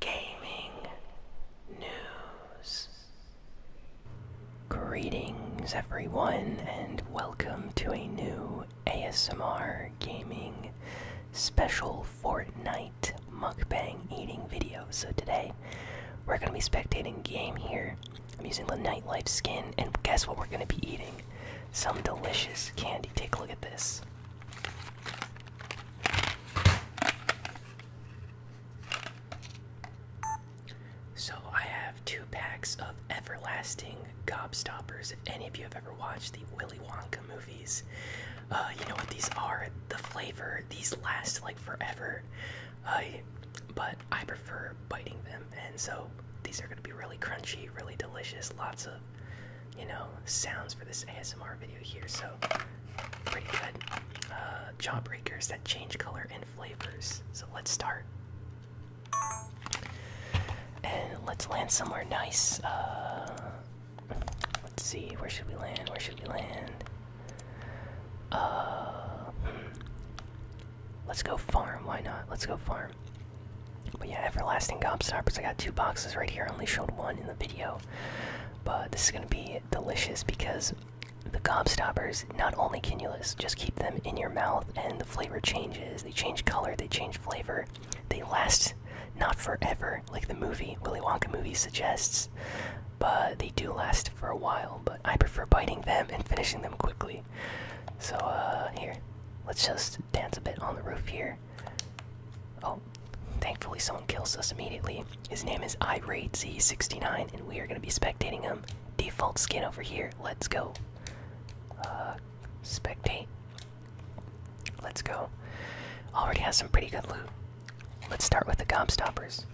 gaming news. Greetings, everyone, and welcome to a new ASMR gaming special Fortnite mukbang eating video. So, today we're going to be spectating game here. I'm using the nightlife skin, and guess what we're going to be eating? Some delicious candy. Take a look at this. So I have two packs of everlasting gobstoppers. If any of you have ever watched the Willy Wonka movies, uh, you know what these are. The flavor, these last like forever. but I prefer biting them, and so these are going to be really crunchy, really delicious, lots of you know, sounds for this ASMR video here, so pretty good. Uh, jawbreakers that change color and flavors. So let's start. And let's land somewhere nice. Uh, let's see, where should we land? Where should we land? Uh, hmm. Let's go farm, why not? Let's go farm. But yeah, Everlasting Gobstoppers, I got two boxes right here. I only showed one in the video. But this is going to be delicious because the gobstoppers, not only can you just keep them in your mouth and the flavor changes, they change color, they change flavor, they last not forever like the movie, Willy Wonka movie suggests, but they do last for a while. But I prefer biting them and finishing them quickly. So, uh, here, let's just dance a bit on the roof here. Oh, thankfully someone kills us immediately. His name is Irate Z69, and we are going to be spectating him. Default skin over here. Let's go. Uh, spectate. Let's go. Already has some pretty good loot. Let's start with the Gobstoppers.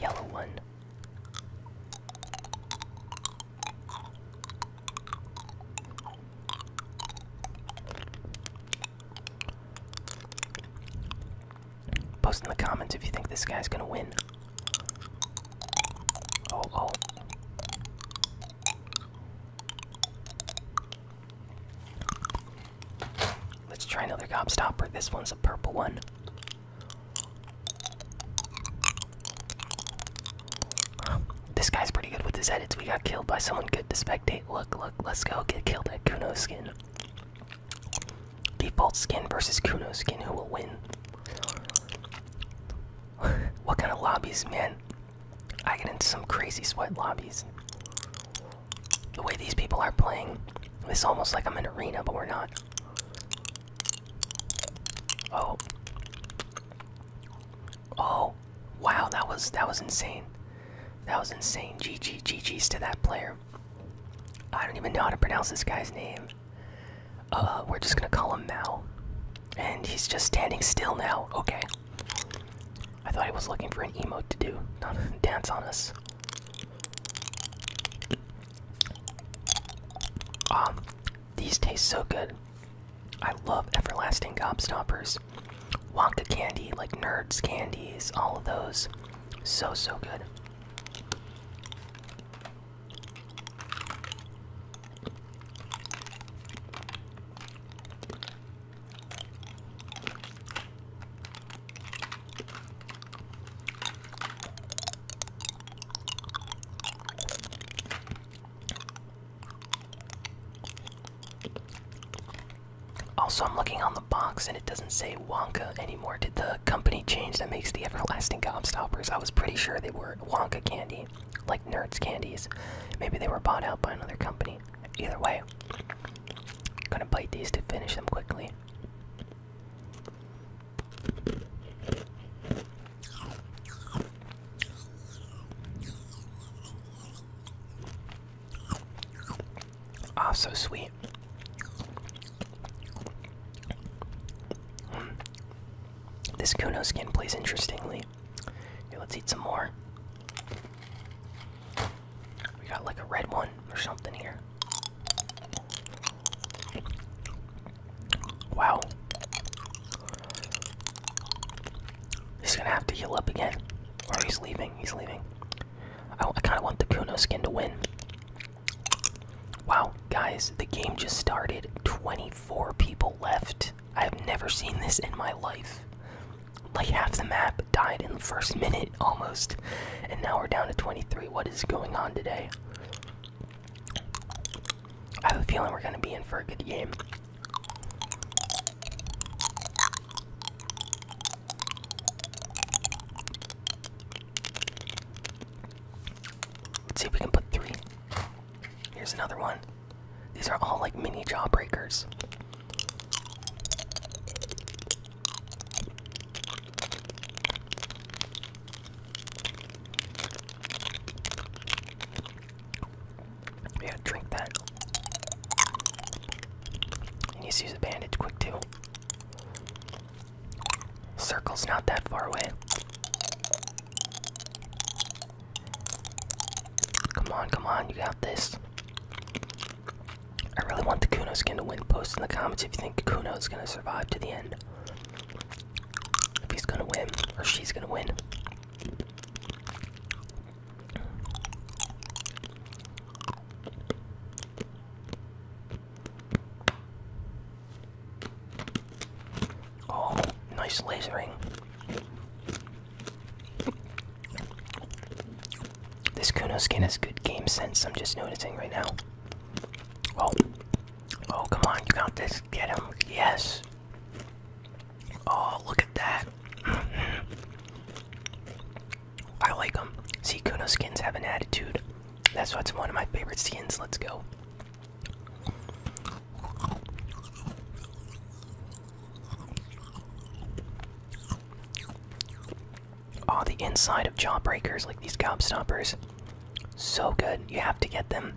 Yellow one. Post in the comments if you think this guy's gonna win. Oh, oh. Let's try another gobstopper. This one's a purple one. This guy's pretty good with his edits. We got killed by someone good to spectate. Look, look, let's go get killed at Kuno skin. Default skin versus Kuno skin. Who will win? what kind of lobbies, man? I get into some crazy sweat lobbies. The way these people are playing, it's almost like I'm in an arena, but we're not. Oh. Oh, wow, that was that was insane. That was insane. GG GG's to that player. I don't even know how to pronounce this guy's name. Uh, we're just gonna call him Mal. And he's just standing still now. Okay. I thought he was looking for an emote to do, not a dance on us. Um, these taste so good. I love everlasting gobstoppers. Wonka candy, like nerds candies, all of those. So so good. Also, I'm looking on the box and it doesn't say Wonka anymore. Did the company change that makes the everlasting gobstoppers? I was pretty sure they were Wonka candy, like Nerds candies. Maybe they were bought out by another company. Either way, gonna bite these to finish them quickly. Ah, oh, so sweet. Hmm. This Kuno skin plays interestingly. let's eat some more. We got like a red one or something here. Wow. He's gonna have to heal up again. Or he's leaving, he's leaving. I, I kinda want the Kuno skin to win. Wow, guys, the game just started. 24 people left. I've never seen this in my life. Like half the map died in the first minute almost. And now we're down to 23. What is going on today? I have a feeling we're going to be in for a good game. Let's see if we can put three. Here's another one. These are all like mini jawbreakers. Yeah, drink that. need to use a bandage quick too. Circle's not that far away. Come on, come on, you got this. I really want the Kuno skin to win. Post in the comments if you think Kuno is going to survive to the end if he's gonna win or she's gonna win. Oh, nice lasering. This Kuno skin has good game sense, I'm just noticing right now. Oh, Oh, come on, you got this. Get him. Yes. Oh, look at that. I like them. See, Kuno skins have an attitude. That's what's one of my favorite skins. Let's go. Oh, the inside of Jawbreakers, like these gobstoppers. So good. You have to get them.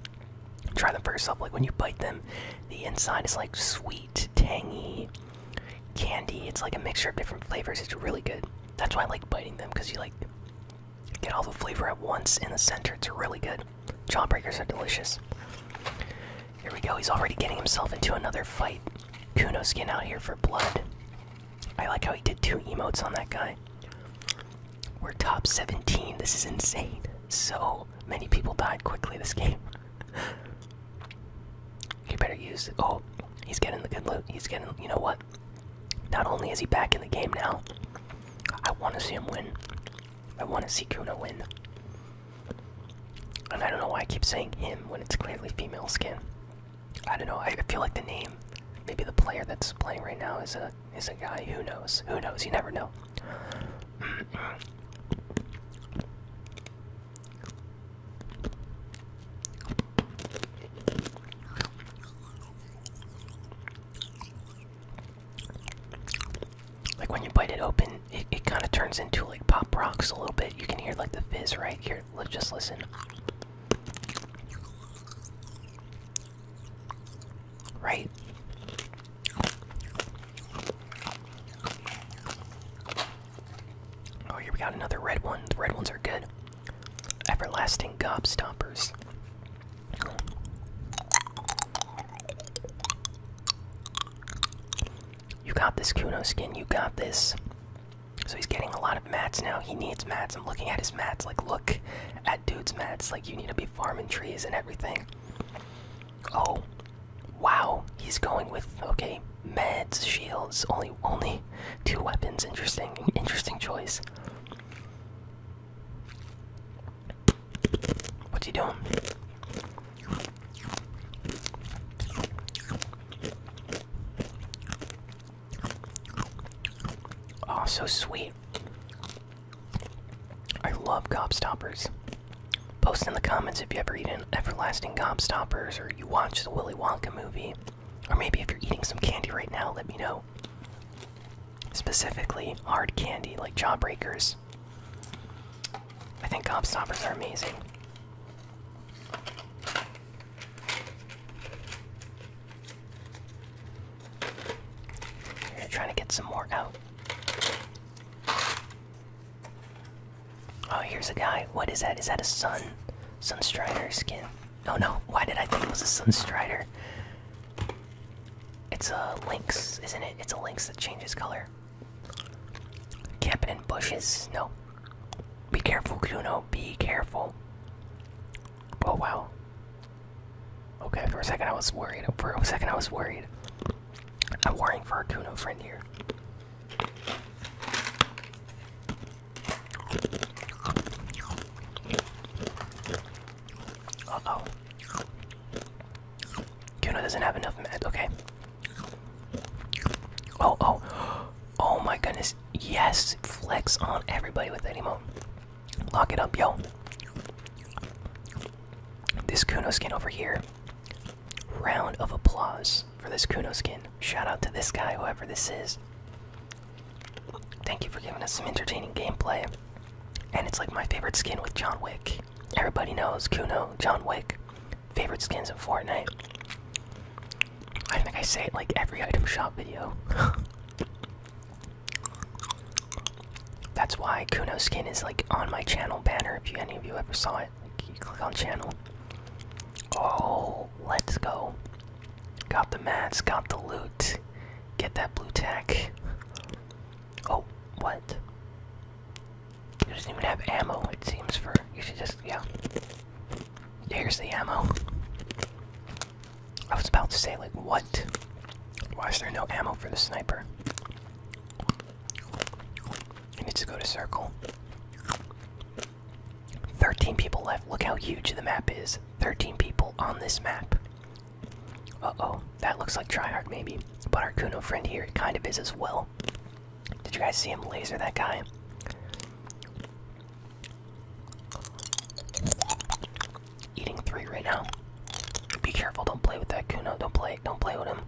Try them for yourself. Like when you bite them, the inside is like sweet, tangy candy. It's like a mixture of different flavors. It's really good. That's why I like biting them because you like get all the flavor at once in the center. It's really good. Jawbreakers are delicious. Here we go. He's already getting himself into another fight. Kuno skin out here for blood. I like how he did two emotes on that guy. We're top 17. This is insane. So many people died quickly this game. you better use it. Oh, he's getting the good loot. He's getting, you know what? Not only is he back in the game now, I want to see him win. I want to see Kuna win. And I don't know why I keep saying him when it's clearly female skin. I don't know. I feel like the name, maybe the player that's playing right now is a is a guy who knows. Who knows? You never know. Like when you bite it open, it, it kind of turns into like pop rocks a little bit. You can hear like the fizz right here. Let's just listen right? Oh, here we got another red one. The red ones are good. Everlasting Gobstoppers. You got this, Kuno skin. You got this. So he's getting a lot of mats now. He needs mats. I'm looking at his mats. Like, look at dudes meds. like you need to be farming trees and everything oh wow he's going with okay meds shields only only two weapons interesting interesting choice What's he doing Oh, so sweet. I love Stoppers. Post in the comments if you ever eaten everlasting Stoppers, or you watch the Willy Wonka movie. Or maybe if you're eating some candy right now, let me know. Specifically, hard candy like Jawbreakers. I think Stoppers are amazing trying to get some more out. Oh, here's a guy. What is that? Is that a sun, sunstrider skin? Oh no. Why did I think it was a sunstrider? It's a lynx, isn't it? It's a lynx that changes color. Camping in bushes. No. Be careful, Kuno. Be careful. Oh wow. Okay, for a second I was worried. For a second I was worried. I'm worrying for our Kuno friend here. Uh oh. Kuno doesn't have enough meds, okay. Oh, oh. Oh my goodness. Yes, flex on everybody with any emote. Lock it up, yo. This Kuno skin over here. Round of applause for this Kuno skin. Shout out to this guy, whoever this is. Thank you for giving us some entertaining gameplay. And it's like my favorite skin with John Wick. Everybody knows Kuno, John Wick. Favorite skins in Fortnite. I think I say it like every item shop video. That's why Kuno skin is like on my channel banner. If you, any of you ever saw it, you click on channel. Oh, let's go! Got the mats, got the loot. Get that blue tack. Oh, what? You do not even have ammo. It seems for you should just yeah. Here's the ammo. I was about to say, like, what? Why is there no ammo for the sniper? It needs to go to circle. 13 people left. Look how huge the map is. 13 people on this map. Uh oh. That looks like tryhard, maybe. But our Kuno friend here kind of is as well. Did you guys see him laser that guy? Eating three right now. Be careful, don't play with that Kuno. Don't play don't play with him.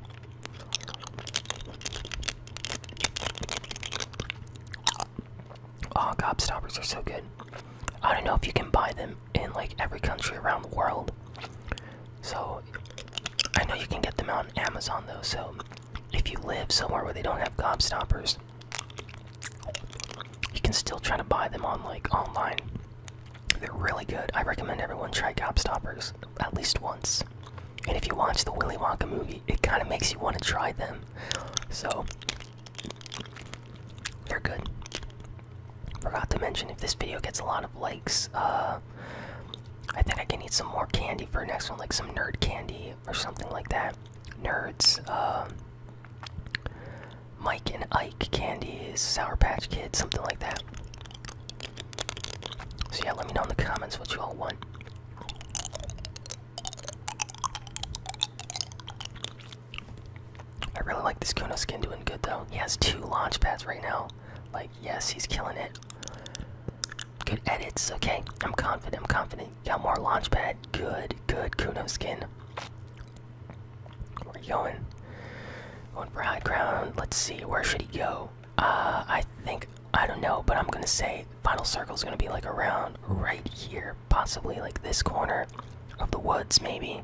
Oh, gobstoppers are so good. I don't know if you can buy them in like every country around the world. So I know you can get them on Amazon though, so if you live somewhere where they don't have gobstoppers, you can still try to buy them on like online. They're really good. I recommend everyone try Gobstoppers at least once. And if you watch the Willy Wonka movie, it kind of makes you want to try them. So they're good. Forgot to mention if this video gets a lot of likes, uh, I think I can eat some more candy for next one, like some nerd candy or something like that. Nerds. Uh, Mike and Ike candies, Sour Patch Kids, something like that. So yeah, let me know in the comments what you all want. I really like this Kuno skin doing good though. He has two launch pads right now. Like, yes, he's killing it. Good edits, okay? I'm confident, I'm confident. Got more launchpad. Good, good. Kuno skin. Where are you going? Going for high ground. Let's see. Where should he go? Uh, I think I don't know, but I'm gonna say final circle is gonna be like around right here, possibly like this corner of the woods, maybe.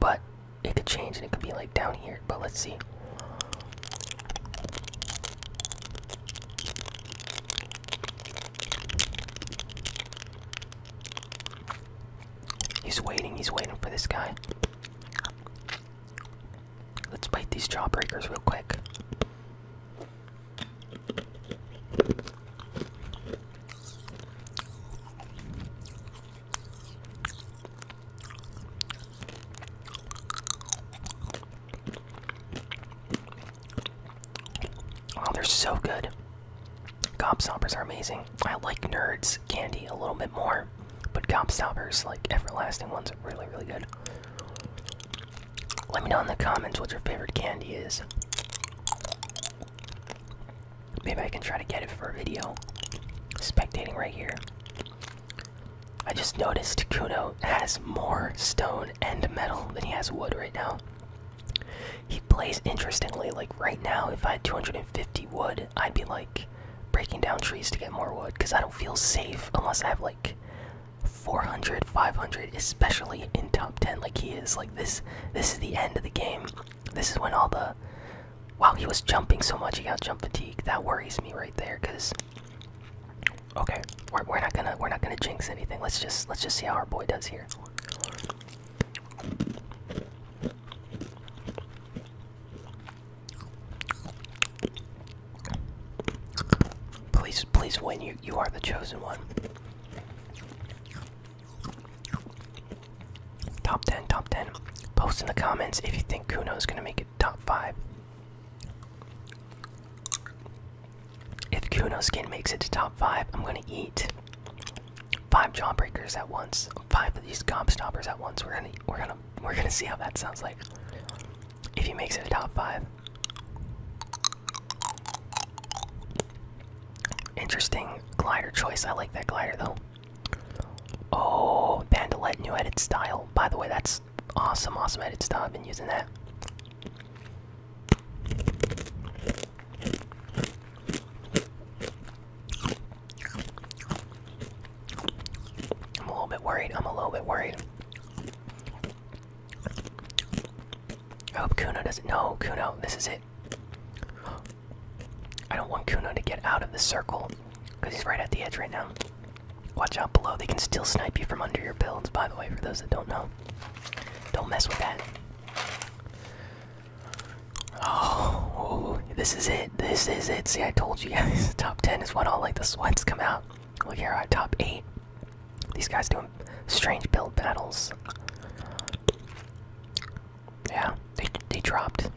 But it could change, and it could be like down here. But let's see. He's waiting, he's waiting for this guy. Let's bite these jawbreakers real quick. Oh, they're so good. Gobstoppers are amazing. I like Nerds candy a little bit more, but Gobstoppers, like everlasting ones, are really, really good. Let me know in the comments what your favorite candy is. Maybe I can try to get it for a video. Spectating right here. I just noticed Kuno has more stone and metal than he has wood right now. He plays interestingly. Like right now, if I had 250 wood, I'd be like breaking down trees to get more wood because I don't feel safe unless I have like 400, 500, especially in top 10. Like he is. Like this. This is the end of the game. This is when all the wow. He was jumping so much. He got jump fatigue. That worries me right there because Okay, we're, not gonna we're not gonna jinx anything. Let's just let's just see how our boy does here. Please please win. You you are the chosen one. Top ten, top ten. Post in the comments if you think Kuno is gonna make it top five. If Kuno's skin makes it to top five, I'm gonna eat five jawbreakers at once. Five of these gobstoppers at once. We're gonna we're gonna we're gonna see how that sounds like. If he makes it to top five. Interesting glider choice. I like that glider though. Oh, Bandolette new edit style. By the way, that's awesome, awesome edit style. I've been using that. I'm a little bit worried. I'm a little bit worried. I hope Kuno doesn't. know Kuno, this is it. I don't want Kuno to get out of the circle because he's right at the edge right now. Watch out below. They can still snipe you from under your builds, by the way, for those that don't know. Don't mess with that. Oh, this is it. This is it. See, I told you guys. Top 10 is when all like the sweats come out. Look here, our uh, top 8. These guys doing strange build battles. Yeah, they, they dropped.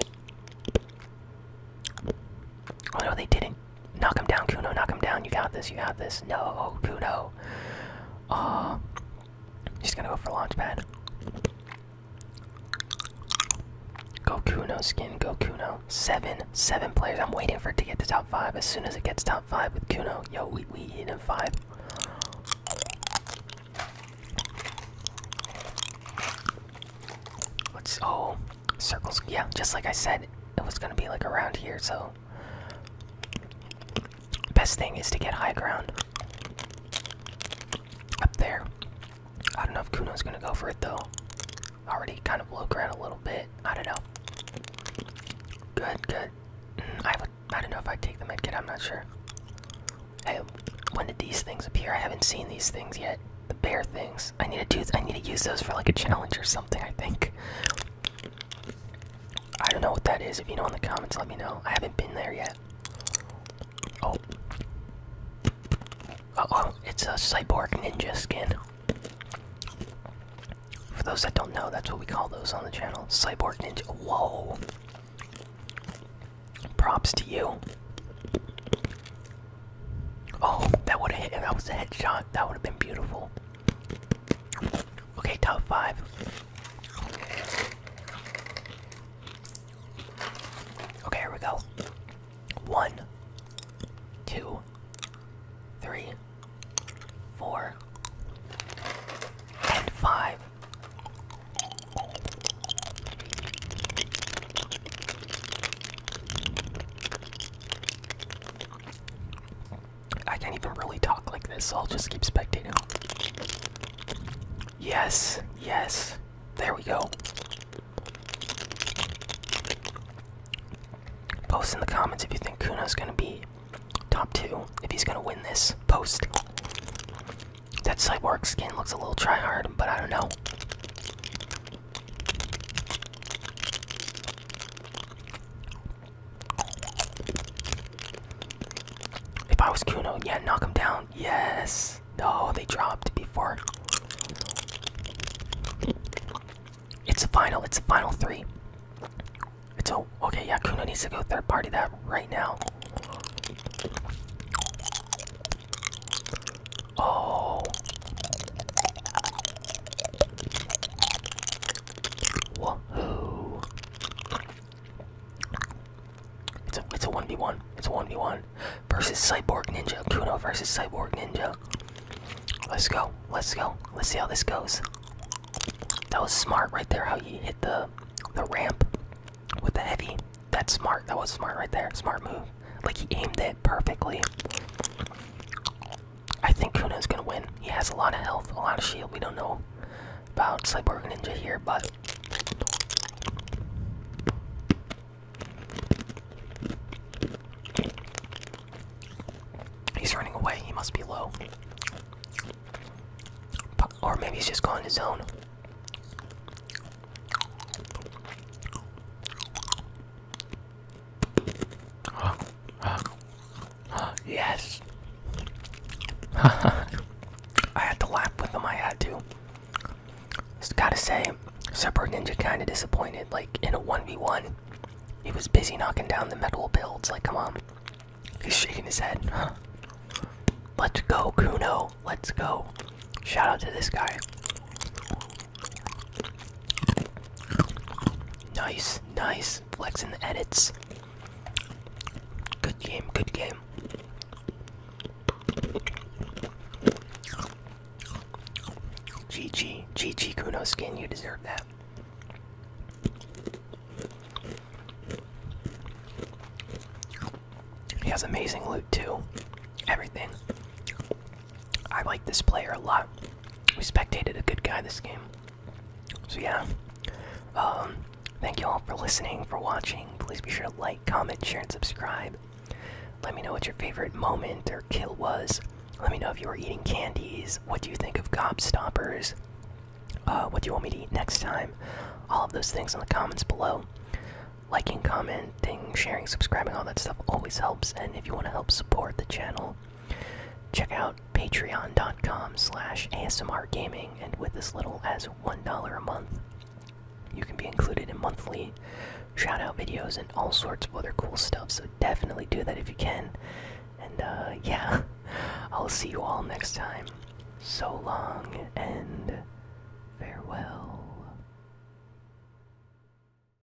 Oh no, they didn't. Knock him down, Kuno. Knock him down. You got this. You got this. No, Kuno. Uh, he's gonna go for launchpad. Go Kuno skin. Go Kuno. Seven, seven players. I'm waiting for it to get to top five. As soon as it gets top five with Kuno, yo, we we hit in five. oh circles. Yeah, just like I said, it was gonna be like around here. So Best thing is to get high ground up there. I don't know if Kuno's gonna go for it though. Already kind of low ground a little bit. I don't know. Good, good. Mm, I would. I don't know if I take the medkit. I'm not sure. Hey, when did these things appear? I haven't seen these things yet. The bear things. I need to do. I need to use those for like a challenge or something. I think. I don't know what that is. If you know in the comments, let me know. I haven't been there yet. Oh. Uh oh, it's a cyborg ninja skin. For those that don't know, that's what we call those on the channel. Cyborg ninja. Whoa. Props to you. Oh, that would have hit. that was a headshot, that would have been beautiful. Okay, top five. Okay, here we go. One, two, three, four, and five. I can't even really talk like this, so I'll just keep spectating. Yes, yes. There we go. Post in the comments if you think Kuna's gonna be top two. If he's gonna win this, post. That cyborg skin looks a little try hard, but I don't know. If I was Kuno, yeah, knock him down. Yes. No, they dropped before. It's a final. It's a final three. It's okay. Yeah, Kuno needs to go third party that right now. Oh. It's a it's a one v one. It's a one v one versus Cyborg Ninja. Kuno versus Cyborg Ninja. Let's go. Let's go. Let's see how this goes. That was smart right there. How you hit the the ramp with the heavy. That's smart. That was smart right there. Smart move. Like he aimed it perfectly. I think Kuna is gonna win. He has a lot of health, a lot of shield. We don't know about Cyborg Ninja here, but he's running away. He must be low, or maybe he's just going his own. Uh, uh, uh, yes. I had to laugh with them. I had to. Just gotta say, Super Ninja kind of disappointed. Like in a one v one, he was busy knocking down the metal builds. Like, come on. He's shaking his head. Huh. Let's go, Kuno. Let's go. Shout out to this guy. Nice, nice. Flexing the edits. Good game, good game. GG, GG Kuno skin, you deserve that. He has amazing loot too. Everything. I like this player a lot. We spectated a good guy this game. So yeah. Um, thank you all for listening, for watching. Please be sure to like, comment, share, and subscribe. Let me know what your favorite moment or kill was. Let me know if you were eating candies. What do you think of Gobstoppers? Uh, what do you want me to eat next time? All of those things in the comments below. Liking, commenting, sharing, subscribing, all that stuff always helps. And if you want to help support the channel, Check out patreon.com slash ASMRgaming, and with as little as $1 a month, you can be included in monthly shoutout videos and all sorts of other cool stuff, so definitely do that if you can. And, uh, yeah, I'll see you all next time. So long, and farewell.